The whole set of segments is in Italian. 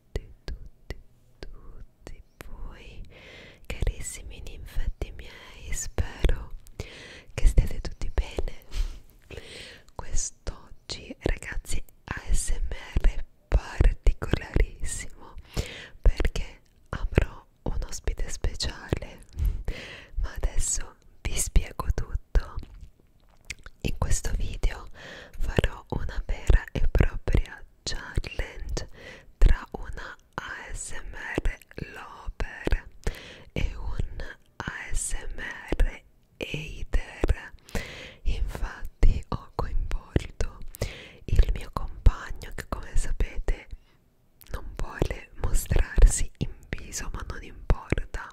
tutti, tutti, tutti voi carissimi ninfetti miei, spero che stiate tutti bene. Quest'oggi ragazzi ASMR particolarissimo perché avrò un ospite speciale, ma adesso vi spiego tutto in questo video farò una vera e propria challenge tra una ASMR lover e un ASMR hater. Infatti ho coinvolto il mio compagno che come sapete non vuole mostrarsi in viso ma non importa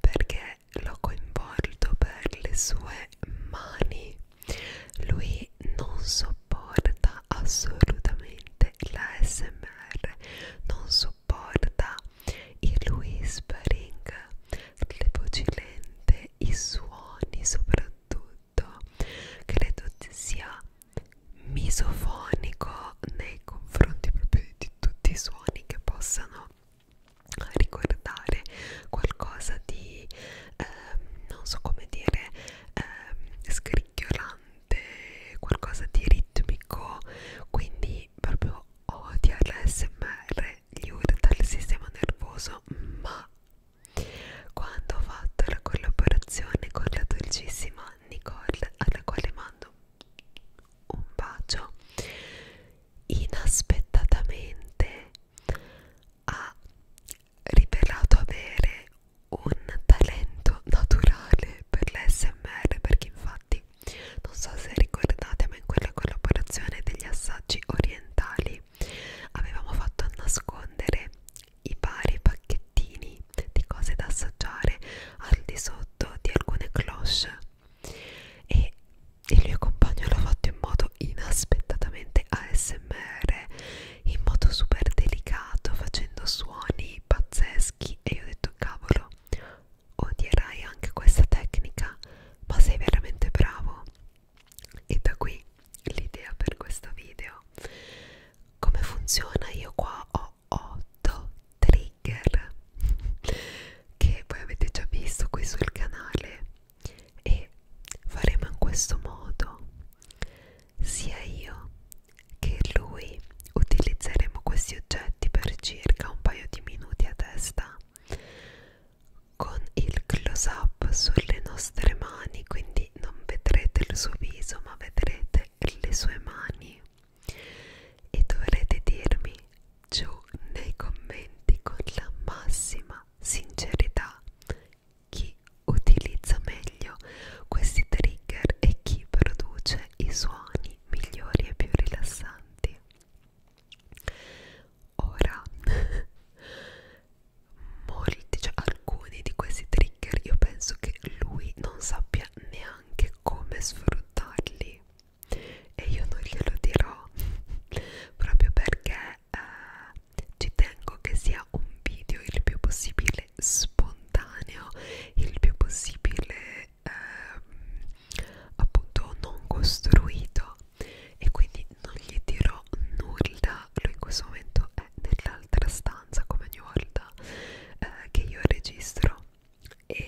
perché l'ho coinvolto per le sue mani lui non sopporta assolutamente la smr non sopporta il whispering le voci lente i suoni soprattutto credo sia misofonico nei confronti proprio di tutti i suoni che possano ricordare qualcosa di ehm, non so come dire ehm, scricchiolante qualcosa di ritmico quindi proprio odia l'ASMR gli urta il sistema nervoso ma quando ho fatto la collaborazione con la dolcissima Nicole alla quale mando un bacio inaspettatamente ha rivelato avere un talento naturale per l'SMR perché infatti non so se ricordate ma in quella collaborazione degli assaggi orientali avevamo fatto nascondere i vari pacchettini di cose da assaggiare al di sotto di alcune cloche e il mio compagno l'ha fatto in modo inaspettatamente ASMR in modo super delicato facendo suoni pazzeschi e io ho detto cavolo odierai anche questa tecnica ma sei veramente bravo e da qui l'idea per questo video come funziona io qua ho 8 trigger che voi avete già visto qui sul canale e faremo in questo modo sia io che lui utilizzeremo questi oggetti per circa un paio di minuti a testa con il close up sulle nostre mani quindi non vedrete il suo viso ma vedrete le sue mani e dovrete dirmi giù nei commenti con la massima sincerità chi utilizza meglio questi trigger e chi produce i suoni migliori e più rilassanti. Ora, molti, cioè alcuni di questi trigger, io penso che lui non sappia neanche come sfruttarli e io non glielo dirò proprio perché eh, ci tengo che sia un video il più possibile spontaneo, il più possibile eh, appunto non costruito e quindi non gli dirò nulla, lui in questo momento è nell'altra stanza come ogni volta eh, che io registro e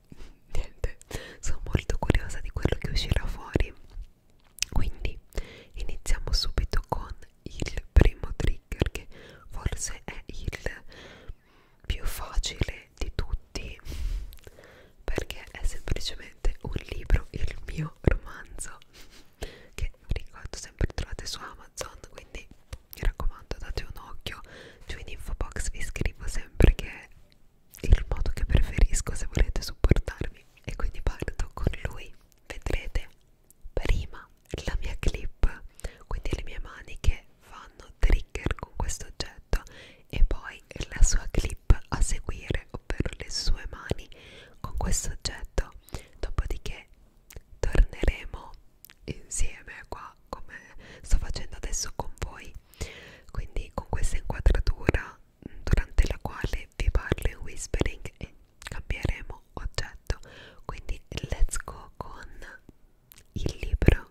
niente sono molto curiosa di quello che uscirà fuori quindi iniziamo subito con il primo trigger che forse è il più facile di tutti perché è semplicemente un libro il mio romanzo che vi ricordo sempre trovate su Amazon quindi mi raccomando date un occhio giù in info box vi scrivo sempre che il modo che preferisco se volete supportarmi e quindi parto con lui vedrete prima la mia clip quindi le mie mani che fanno trigger con questo oggetto e poi la sua clip a seguire ovvero le sue mani con questo oggetto dopodiché torneremo insieme qua come sto facendo adesso con voi quindi con questa inquadratura durante la quale vi parlo in whispering e cambieremo oggetto quindi let's go con il libro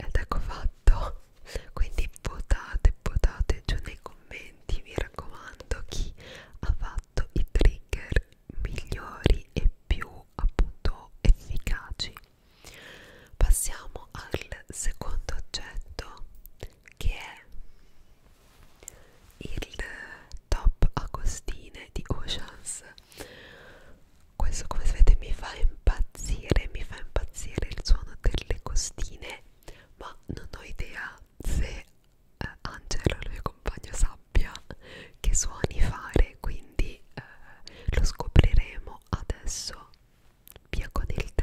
Ed ecco fatto, quindi votate, votate giù nei commenti commenti vi raccomando chi ha fatto i trigger migliori e più appunto efficaci passiamo al secondo oggetto che è il top agostine di Oceans questo come sapete mi fa impazzire mi fa impazzire il suono delle costine ma non ho idea se eh, Angelo, il mio compagno, sappia che suoni fare, quindi eh, lo scopriremo adesso via con il trigger.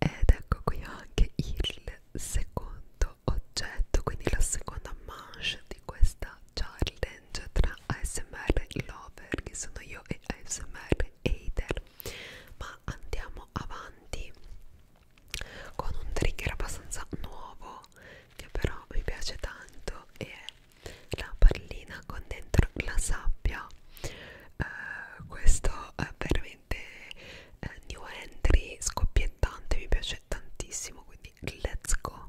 Ed ecco qui anche il secondo oggetto, quindi la seconda manche di questa challenge tra ASMR Lover, che sono io, e ASMR Hater ma andiamo avanti con un trigger abbastanza nuovo che però mi piace tanto e è la pallina con dentro la sabbia uh, questo è veramente uh, new entry scoppiettante mi piace tantissimo quindi let's go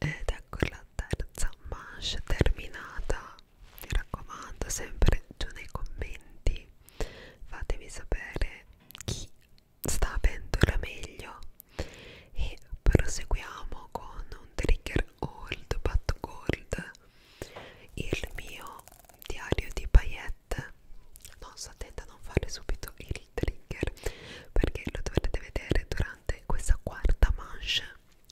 ed ecco la terza manche terminata mi raccomando sempre giù nei commenti fatemi sapere chi sta avendo la meglio e proseguiamo con un trigger old but gold il mio diario di paillette non sto attenta a non fare subito il il trigger perché lo dovrete vedere durante questa quarta manche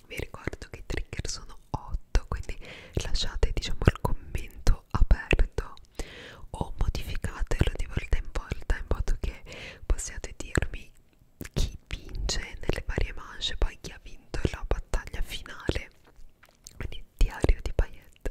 vi ricordo che i trigger sono 8 quindi lasciate diciamo il commento aperto o modificatelo di volta in volta in modo che possiate dirmi chi vince nelle varie manche poi chi ha vinto la battaglia finale quindi diario di Payette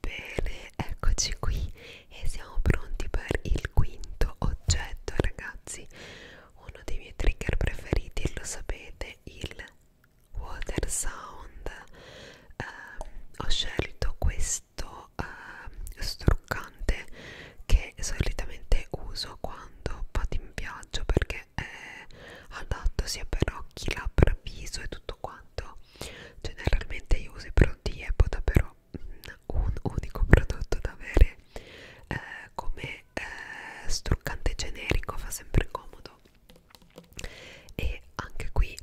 Bene, eccoci qui e siamo pronti per il quinto oggetto, ragazzi. Uno dei miei trigger preferiti, lo sapete, il water sound eh, ho scelto questo eh, struccante che solitamente uso quando vado in viaggio perché è adatto sia per occhi, labbra, viso e tutto quanto generalmente io uso i prodotti Epoda però un unico prodotto da avere eh, come eh, struccante generico fa sempre comodo e anche qui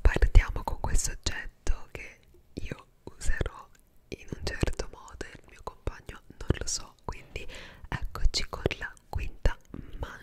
partiamo con questo oggetto che io userò in un certo modo e il mio compagno non lo so quindi eccoci con la quinta manche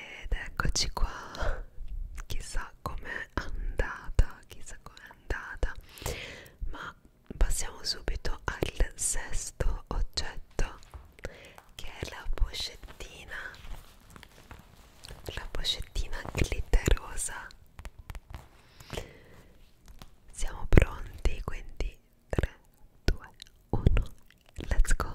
Ed eccoci qua, chissà com'è andata, chissà com'è andata, ma passiamo subito al sesto oggetto che è la pochettina, la pochettina glitterosa siamo pronti, quindi 3, 2, 1, let's go!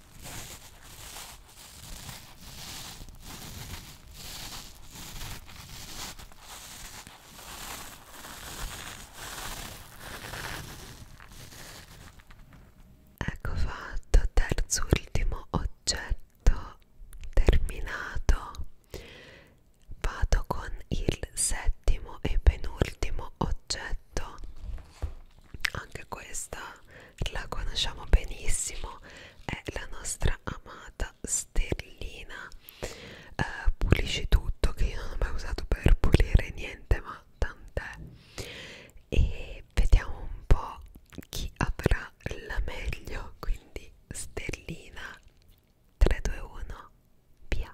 Ecco fatto, terzo ultimo oggetto terminato. Vado con il settimo e penultimo oggetto. Anche questa la conosciamo benissimo, è la nostra amata sterlina. Uh, eh, pulisci tutto, che io non ho mai usato per pulire niente, ma tant'è. E vediamo un po' chi avrà la meglio, quindi sterlina 3, 2, 1, via.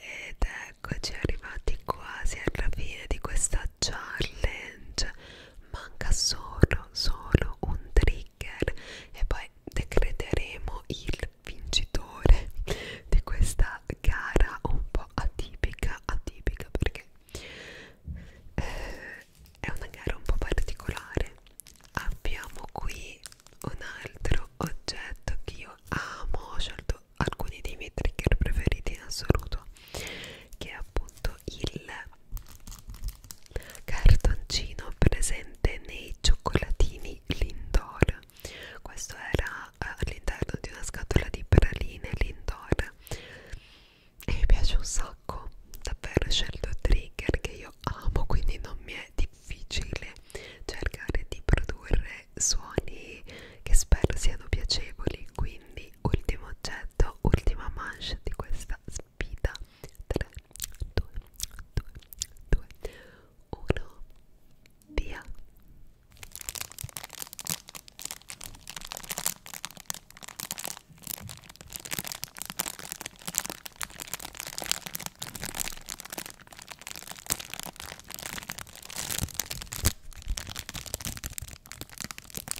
Ed eccoci arrivati quasi alla fine di questa challenge manca solo solo un trigger e poi decreteremo il vincitore di questa gara un po' atipica atipica perché eh, è una gara un po' particolare abbiamo qui un altro oggetto che io amo ho scelto alcuni dei miei trigger preferiti in assoluto che è appunto il cartoncino presente nei cioccolatini Lindor questo era eh, all'interno di una scatola di praline Lindor e mi piace un sacco davvero ho scelto trigger che io amo quindi non mi è difficile cercare di produrre suoni che spero siano piacevoli quindi quindi ultimo oggetto ultima manche di questa sfida 3 2 2 2 1 via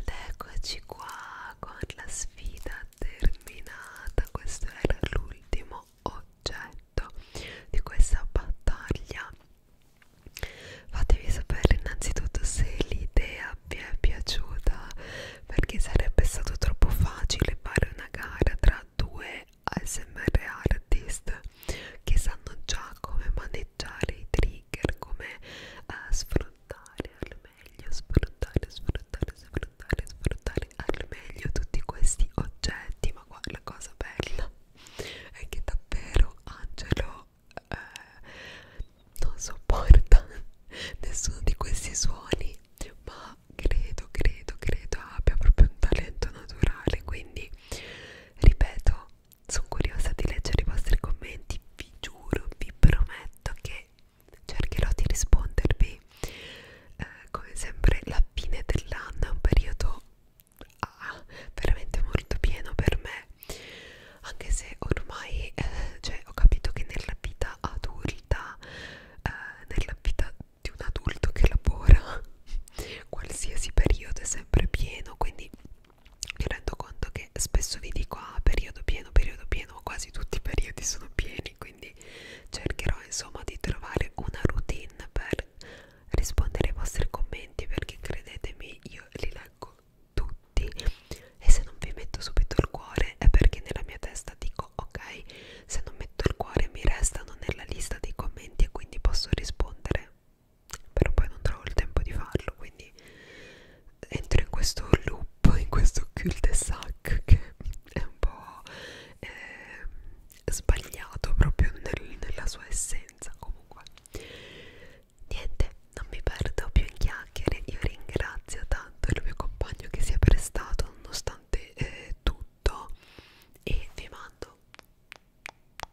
Ed eccoci qua con la sfida terminata. Questo era l'ultimo oggetto di questa battaglia. Fatevi sapere innanzitutto se l'idea vi è piaciuta perché sarebbe stato troppo facile fare una gara tra due ASMR artist che sanno già come maneggiare i trigger, come uh, sfruttare al meglio, sfruttare, sfruttare, sfruttare, sfruttare al meglio tutti questi oggetti. Ma qua la cosa bella è che davvero Angelo eh, non sopporta nessuno di questi suoni, ma credo, credo, credo abbia proprio un talento naturale. Quindi ripeto, sono curiosa di leggere i vostri commenti, vi giuro, vi prometto che cercherò di rispondervi. Eh, come sempre la fine dell'anno è un periodo ah, veramente molto pieno per me, anche se ormai eh, cioè, ho capito che nella vita adulta, eh, nella vita di un adulto che lavora qualsiasi periodo è sempre pieno quindi mi rendo conto che spesso vi dico ah periodo pieno periodo pieno quasi tutti i periodi sono pieni quindi cercherò insomma di trovare una routine per rispondere ai vostri commenti perché credetemi io li leggo tutti e se non vi metto subito il cuore è perché nella mia testa dico ok se non metto il cuore mi restano nella lista dei commenti e quindi posso rispondere però poi non trovo il tempo di farlo quindi entro in questo loop in questo cul de sac che è un po' eh, sbagliato proprio nel, nella sua essenza comunque niente non mi perdo più in chiacchiere io ringrazio tanto il mio compagno che si è prestato nonostante eh, tutto e vi mando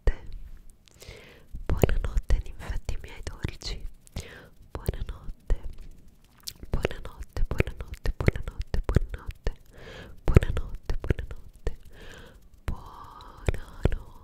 Buonanotte. Buonanotte, infatti, miei dolci. Buonanotte. Buonanotte, buonanotte, buonanotte, buonanotte. Buonanotte, buonanotte. Buonanotte.